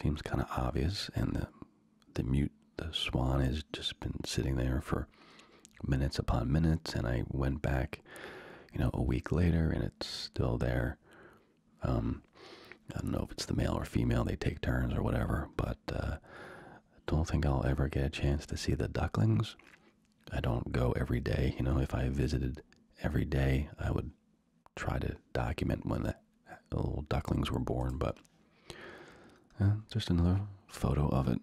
seems kind of obvious. And the, the mute the swan has just been sitting there for minutes upon minutes and I went back you know a week later and it's still there um, I don't know if it's the male or female they take turns or whatever but I uh, don't think I'll ever get a chance to see the ducklings I don't go every day you know if I visited every day I would try to document when the little ducklings were born but just another photo of it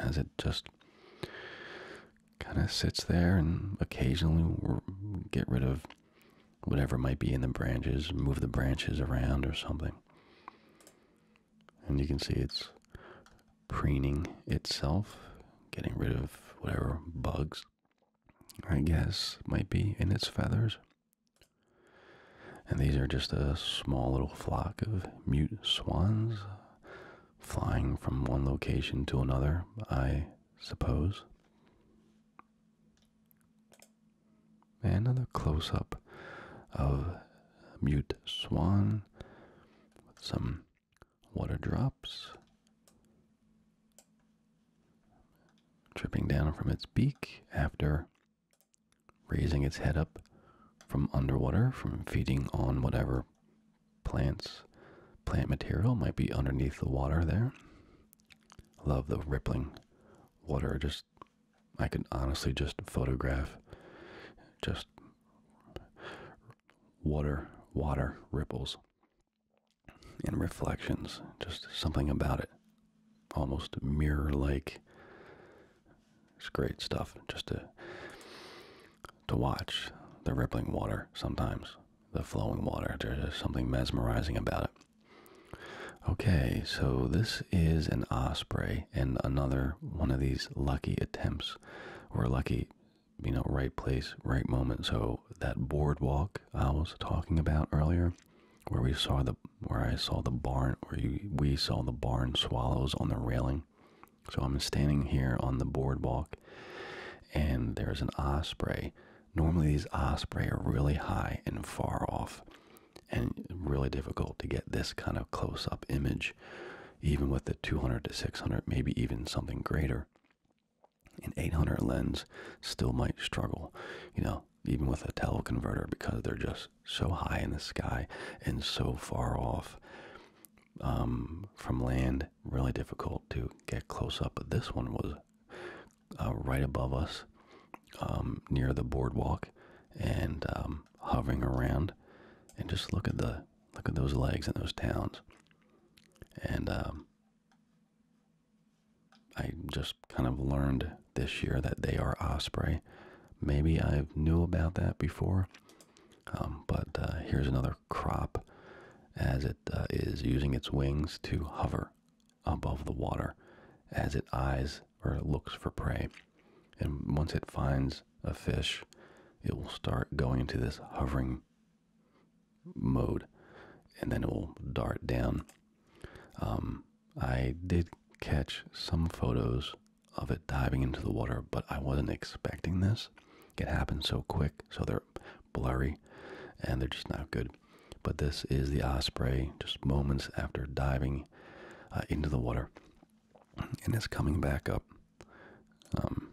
as it just kind of sits there and occasionally get rid of whatever might be in the branches, move the branches around or something. And you can see it's preening itself, getting rid of whatever bugs, I guess, might be in its feathers. And these are just a small little flock of mute swans flying from one location to another, I suppose. another close up of mute swan with some water drops dripping down from its beak after raising its head up from underwater, from feeding on whatever plants, plant material might be underneath the water there. Love the rippling water. Just, I could honestly just photograph just water, water ripples and reflections. Just something about it. Almost mirror like it's great stuff just to to watch the rippling water sometimes, the flowing water. There's something mesmerizing about it. Okay, so this is an osprey and another one of these lucky attempts We're lucky, you know, right place, right moment. So that boardwalk I was talking about earlier where we saw the where I saw the barn barn, we saw the barn swallows on the railing. So I'm standing here on the boardwalk, and there's an osprey. Normally, these osprey are really high and far off, and really difficult to get this kind of close up image, even with the 200 to 600, maybe even something greater. An 800 lens still might struggle, you know, even with a teleconverter because they're just so high in the sky and so far off um, from land, really difficult to get close up. But this one was uh, right above us, um, near the boardwalk, and um, hovering around. And just look at the look at those legs and those towns. And I just kind of learned this year that they are osprey, Maybe I knew about that before, um, but uh, here's another crop as it uh, is using its wings to hover above the water as it eyes or looks for prey. And once it finds a fish, it will start going into this hovering mode and then it will dart down. Um, I did catch some photos of it diving into the water, but I wasn't expecting this. It happens so quick, so they're blurry and they're just not good. But this is the osprey just moments after diving uh, into the water and it's coming back up. Um,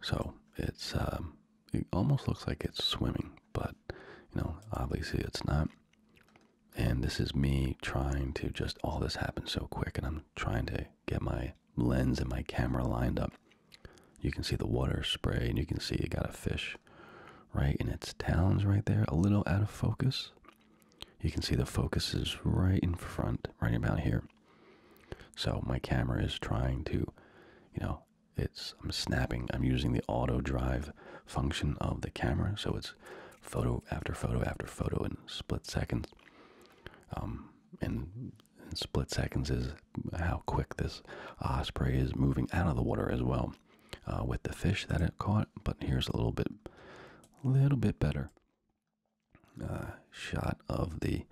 so it's um, it almost looks like it's swimming, but you know, obviously it's not. And this is me trying to just, all this happened so quick, and I'm trying to get my lens and my camera lined up. You can see the water spray, and you can see it got a fish right in its talons right there, a little out of focus. You can see the focus is right in front, right about here. So my camera is trying to, you know, it's I'm snapping. I'm using the auto drive function of the camera, so it's photo after photo after photo in split seconds. Um, and split seconds is how quick this osprey is moving out of the water as well uh, with the fish that it caught. But here's a little bit, a little bit better uh, shot of the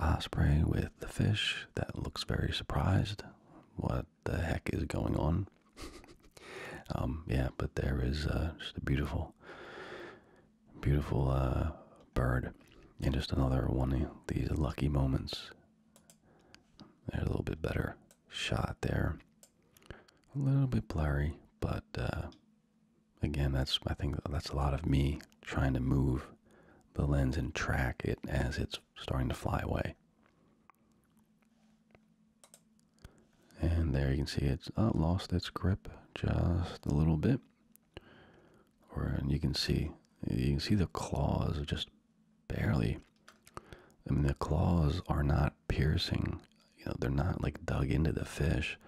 osprey with the fish that looks very surprised. What the heck is going on? *laughs* Um, yeah, but there is uh, just a beautiful, beautiful uh, bird, and just another one of these lucky moments. a little bit better shot there, a little bit blurry, but uh, again, that's I think that's a lot of me trying to move the lens and track it as it's starting to fly away. And there you can see it's oh, lost its grip just a little bit. Or, and you can see, you can see the claws just barely. I mean, the claws are not piercing. You know, they're not like dug into the fish.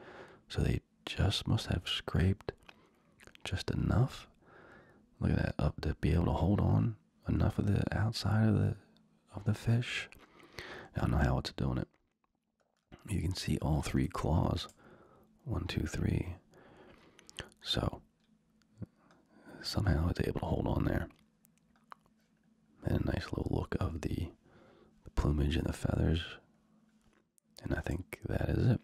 So they just must have scraped just enough. Look at that up to be able to hold on enough of the outside of the of the fish. I don't know how it's doing it. You can see all three claws. One, two, three. So, somehow it's able to hold on there. And a nice little look of the, the plumage and the feathers. And I think that is it.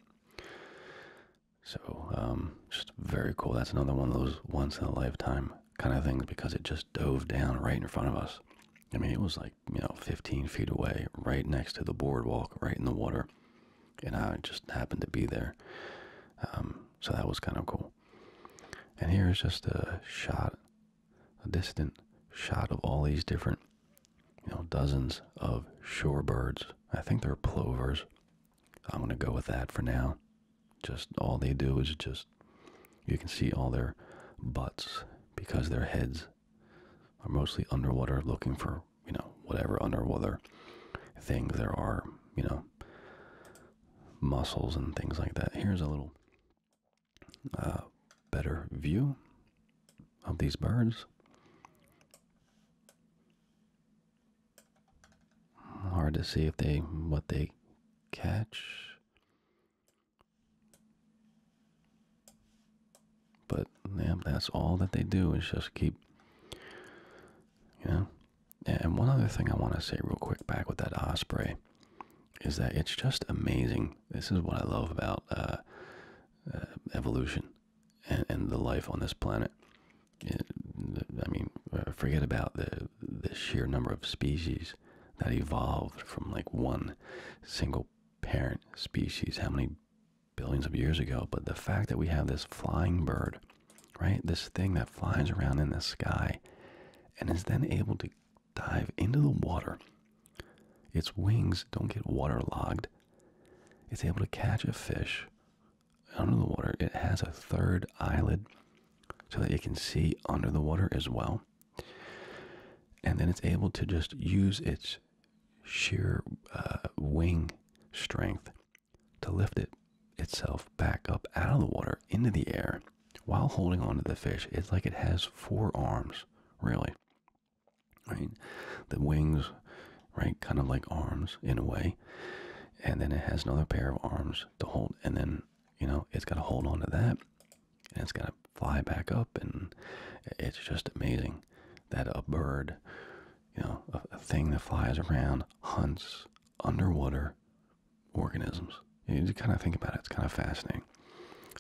So, um, just very cool. That's another one of those once in a lifetime kind of things because it just dove down right in front of us. I mean, it was like, you know, 15 feet away, right next to the boardwalk, right in the water. And I just happened to be there. Um, so that was kind of cool. And here is just a shot, a distant shot of all these different, you know, dozens of shorebirds. I think they're plovers. I'm going to go with that for now. Just all they do is just, you can see all their butts because their heads are mostly underwater looking for, you know, whatever underwater things there are, you know, muscles and things like that. Here's a little uh, better view of these birds. Hard to see if they what they catch. But yeah, that's all that they do is just keep, you know. And one other thing I want to say real quick back with that osprey is that it's just amazing. This is what I love about uh, uh, evolution and, the life on this planet. I mean, uh, forget about the the sheer number of species that evolved from like one single parent species how many billions of years ago but the fact that we have this flying bird right this thing that flies around in the sky and is then able to dive into the water its wings don't get waterlogged it's able to catch a fish under the water it has a third eyelid so that it can see under the water as well and then it's able to just use its sheer uh, wing strength to lift it itself back up out of the water into the air while holding on to the fish. It's like it has four arms, really. Right? The wings, right, kind of like arms in a way. And then it has another pair of arms to hold. And then, you know, it's got to hold on to that. And it's got to fly back up, and it's just amazing that a bird, you know, a, thing that flies around, hunts underwater organisms. You need kind of think about it. It's kind of fascinating.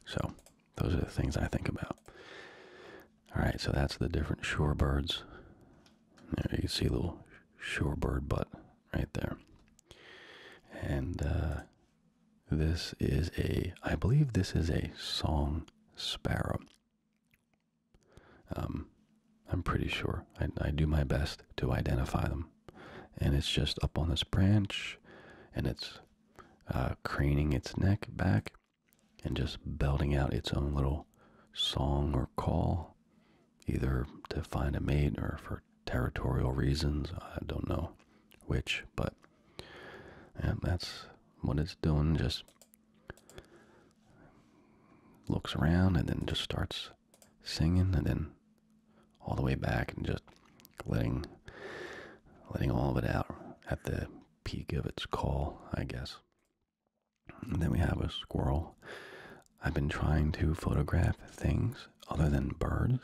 So, those are the things I think about. All right, so that's the different shorebirds. There you see a little shorebird butt right there. And uh, this is a, I believe this is a song sparrow. Um, I'm pretty sure. I, do my best to identify them. And it's just up on this branch and it's uh, craning its neck back and just belting out its own little song or call, either to find a mate or for territorial reasons. I don't know which, but and that's what it's doing. Just looks around and then just starts singing and then all the way back and just letting letting all of it out at the peak of its call, I guess. And then we have a squirrel. I've been trying to photograph things other than birds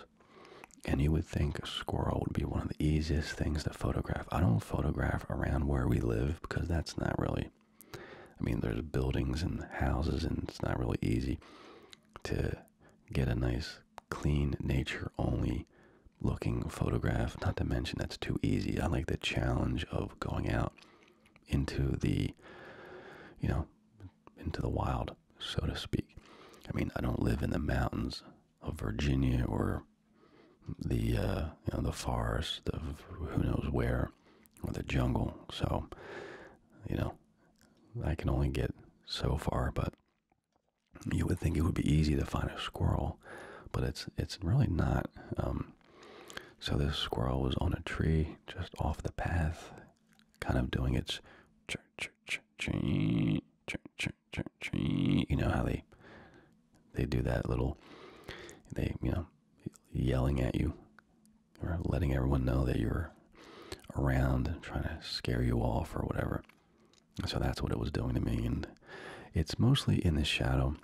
and you would think a squirrel would be one of the easiest things to photograph. I don't photograph around where we live because that's not really, I mean, there's buildings and houses, and it's not really easy to get a nice, clean, nature only looking photograph. Not to mention, that's too easy. I like the challenge of going out into the, you know, into the wild, so to speak. I mean, I don't live in the mountains of Virginia or the uh, you know the forest of who knows where or the jungle. So, you know, I can only get so far. But you would think it would be easy to find a squirrel, but it's it's really not. Um, so this squirrel was on a tree just off the path, kind of doing its ch ch you know how they they do that little they you know yelling at you or letting everyone know that you're around trying to scare you off or whatever. So that's what it was doing to me and it's mostly in the shadow.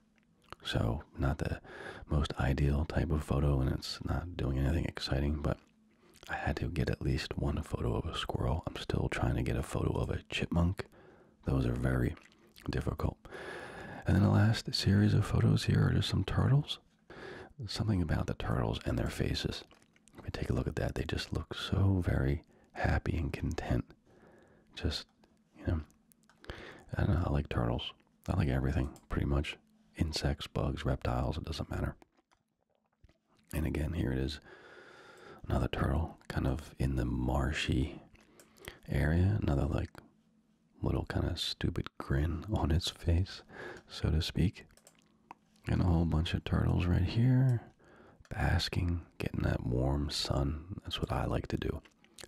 So not the most ideal type of photo and it's not doing anything exciting, but I had to get at least one photo of a squirrel. I'm still trying to get a photo of a chipmunk. Those are very difficult. And then the last series of photos here are just some turtles. Something about the turtles and their faces. If we take a look at that, they just look so very happy and content. Just, you know, I like turtles. I like everything, pretty much. Insects, bugs, reptiles, it doesn't matter. And again, here it is another turtle kind of in the marshy area, another like little kind of stupid grin *laughs* on its face, so to speak. And a whole bunch of turtles right here basking, getting that warm sun. That's what I like to do.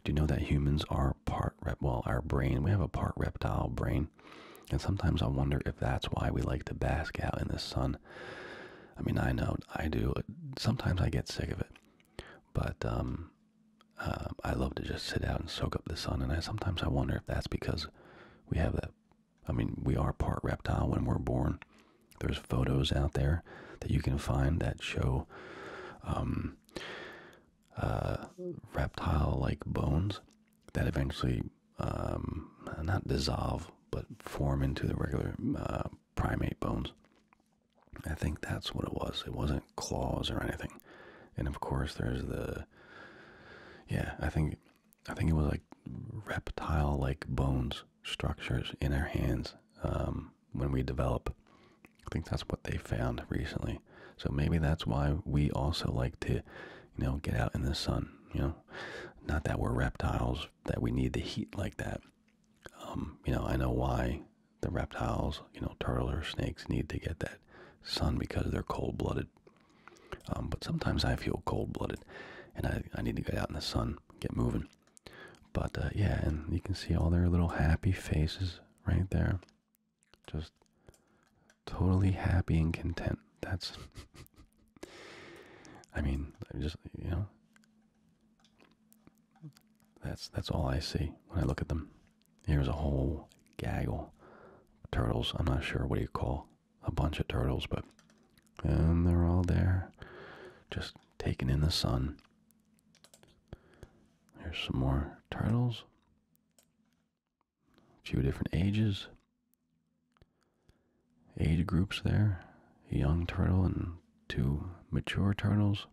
Do you know that humans are part rep? Well, our brain, we have a part reptile brain. And sometimes I wonder if that's why we like to bask out in the sun I mean, I know I do. Sometimes I get sick of it, but um, uh, I love to just sit out and soak up the sun. And I sometimes I wonder if that's because we have that. I mean, we are part reptile when we're born. There's photos out there that you can find that show um, uh, reptile-like bones that eventually um, not dissolve, but form into the regular uh, primate bones. I think that's what it was. It wasn't claws or anything. And of course, there's the yeah. I think I think it was like reptile-like bones structures in our hands um, when we develop. I think that's what they found recently. So maybe that's why we also like to you know, get out in the sun, you know, not that we're reptiles, that we need the heat like that. Um, you know, I know why the reptiles, you know, turtles or snakes need to get that sun because they're cold blooded. Um, but sometimes I feel cold blooded and I, I need to get out in the sun, get moving. But uh, yeah, and you can see all their little happy faces right there. Just totally happy and content. That's *laughs* I mean, just you know, that's that's all I see when I look at them. Here's a whole gaggle turtles. I'm not sure what you call a bunch of turtles, but and they're all there, just taking in the sun. Here's some more turtles. A few different ages age groups there a young turtle and two mature turtles.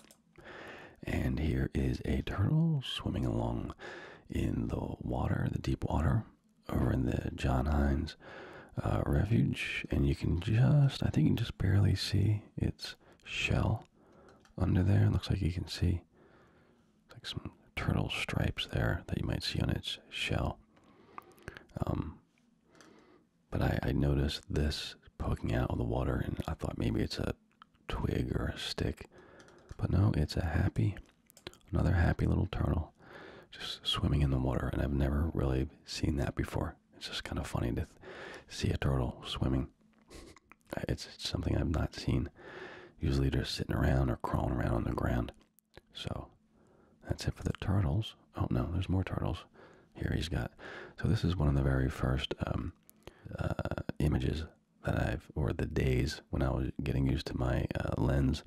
And here is a turtle swimming along in the water, the deep water, over in the John Hines uh, refuge. And you can just, I think you can just barely see its shell under there. looks like you can see like some turtle stripes there that you might see on its shell. Um, but I, noticed this poking out of the water, and I thought maybe it's a twig or a stick, but no, it's a happy, another happy little turtle just swimming in the water, and I've never really seen that before. It's just kind of funny to see a turtle swimming. *laughs* It's, it's something I've not seen. Usually they're sitting around or crawling around on the ground. So that's it for the turtles. Oh no, there's more turtles. Here he's got. So this is one of the very first um, uh, images that I've, or the days when I was getting used to my uh, lens.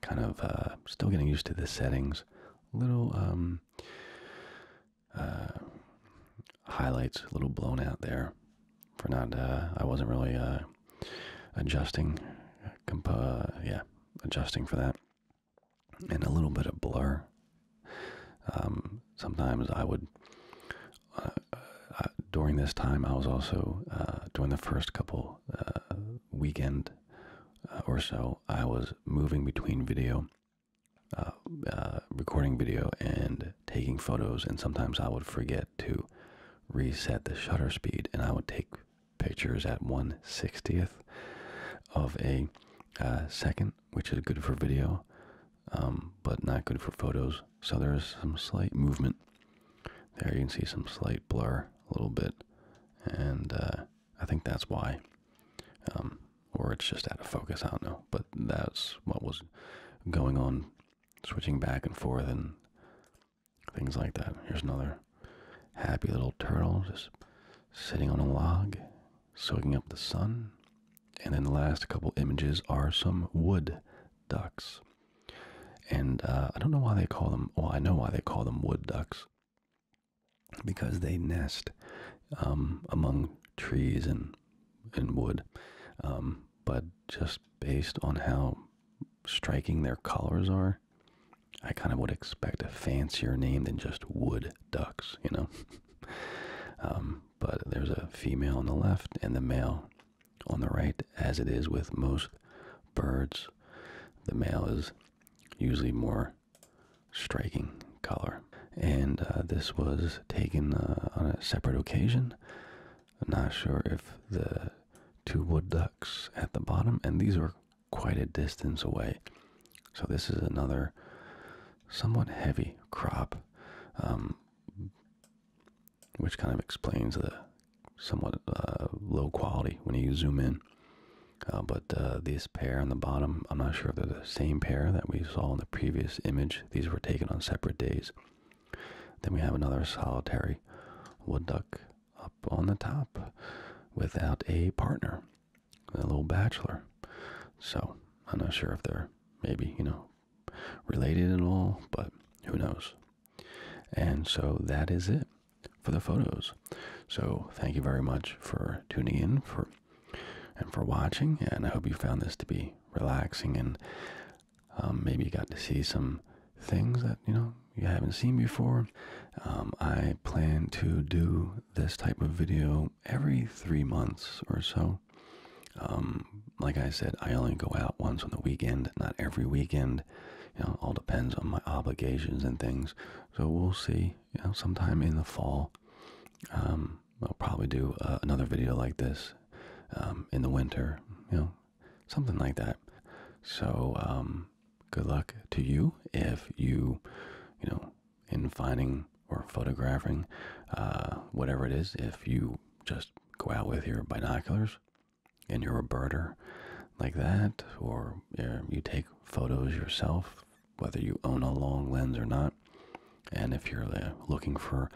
Kind of uh, still getting used to the settings. Little um, highlights, a little blown out there. For not, I wasn't really adjusting. yeah, adjusting for that, and a little bit of blur. Um, sometimes I would, uh, uh, during this time, I was also, uh, during the first couple weekend or so, I was moving between video, recording video, and taking photos, and sometimes I would forget to reset the shutter speed, and I would take pictures at 1 60th of a uh, second, which is good for video, um, but not good for photos. So there's some slight movement. There you can see some slight blur a little bit, and uh, I think that's why. Um, or it's just out of focus, I don't know. But that's what was going on, switching back and forth, and Things like that. Here's another happy little turtle just sitting on a log, soaking up the sun. And then the last couple images are some wood ducks. And uh, I don't know why they call them, well, I know why they call them wood ducks. Because they nest um, among trees and, and wood. Um, but just based on how striking their colors are, I kind of would expect a fancier name than just wood ducks, you know? *laughs* Um, but there's a female on the left and the male on the right, as it is with most birds. The male is usually more striking color. And uh, this was taken uh, on a separate occasion. I'm not sure if the two wood ducks at the bottom, and these are quite a distance away. So, this is another somewhat heavy crop, um, which kind of explains the somewhat uh, low quality when you zoom in. Uh, but uh, this pair on the bottom, I'm not sure if they're the same pair that we saw in the previous image. These were taken on separate days. Then we have another solitary wood duck up on the top without a partner, a little bachelor. So I'm not sure if they're maybe, you know, related at all, but who knows. And so that is it for the photos. So thank you very much for tuning in for and for watching. And I hope you found this to be relaxing and um, maybe you got to see some things that, you know, you haven't seen before, um, I plan to do this type of video every three months or so. Um, like I said, I only go out once on the weekend, not every weekend. You know, all depends on my obligations and things. So we'll see. You know, sometime in the fall, um, I'll probably do uh, another video like this in the winter. You know, something like that. So, um, good luck to you if you, you know, in finding or photographing, uh, whatever it is, if you just go out with your binoculars and your birder like that, or you take photos yourself, whether you own a long lens or not. And if you're uh, looking for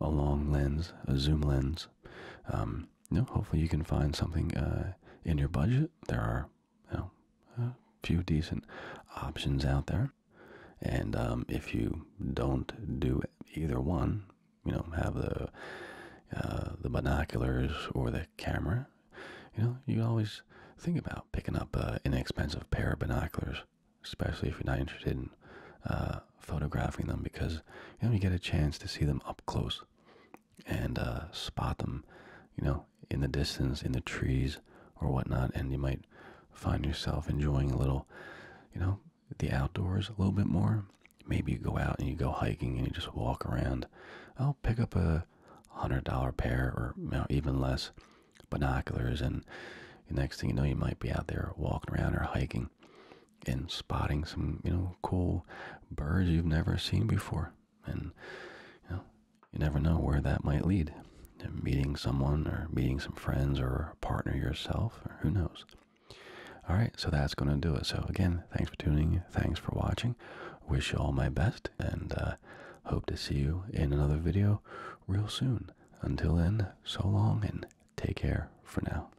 a long lens, a zoom lens, um, no, hopefully you can find something uh, in your budget. There are you know, a few decent options out there, and um, if you don't do either one, you know, have the uh, the binoculars or the camera, you know, you always think about picking up an uh, inexpensive pair of binoculars, especially if you're not interested in photographing them, because you know you get a chance to see them up close and uh, spot them, you know, in the distance, in the trees or whatnot, and you might find yourself enjoying a little, you know, the outdoors a little bit more. Maybe you go out and you go hiking and you just walk around. I'll oh, pick up a hundred dollar pair or even less binoculars, and the next thing you know, you might be out there walking around or hiking and spotting some, you know, cool birds you've never seen before. And you know, you never know where that might lead. meeting someone or meeting some friends or partner yourself, or who knows. All right, so that's going to do it. So again, thanks for tuning. Thanks for watching. Wish you all my best and uh, hope to see you in another video real soon. Until then, so long and take care for now.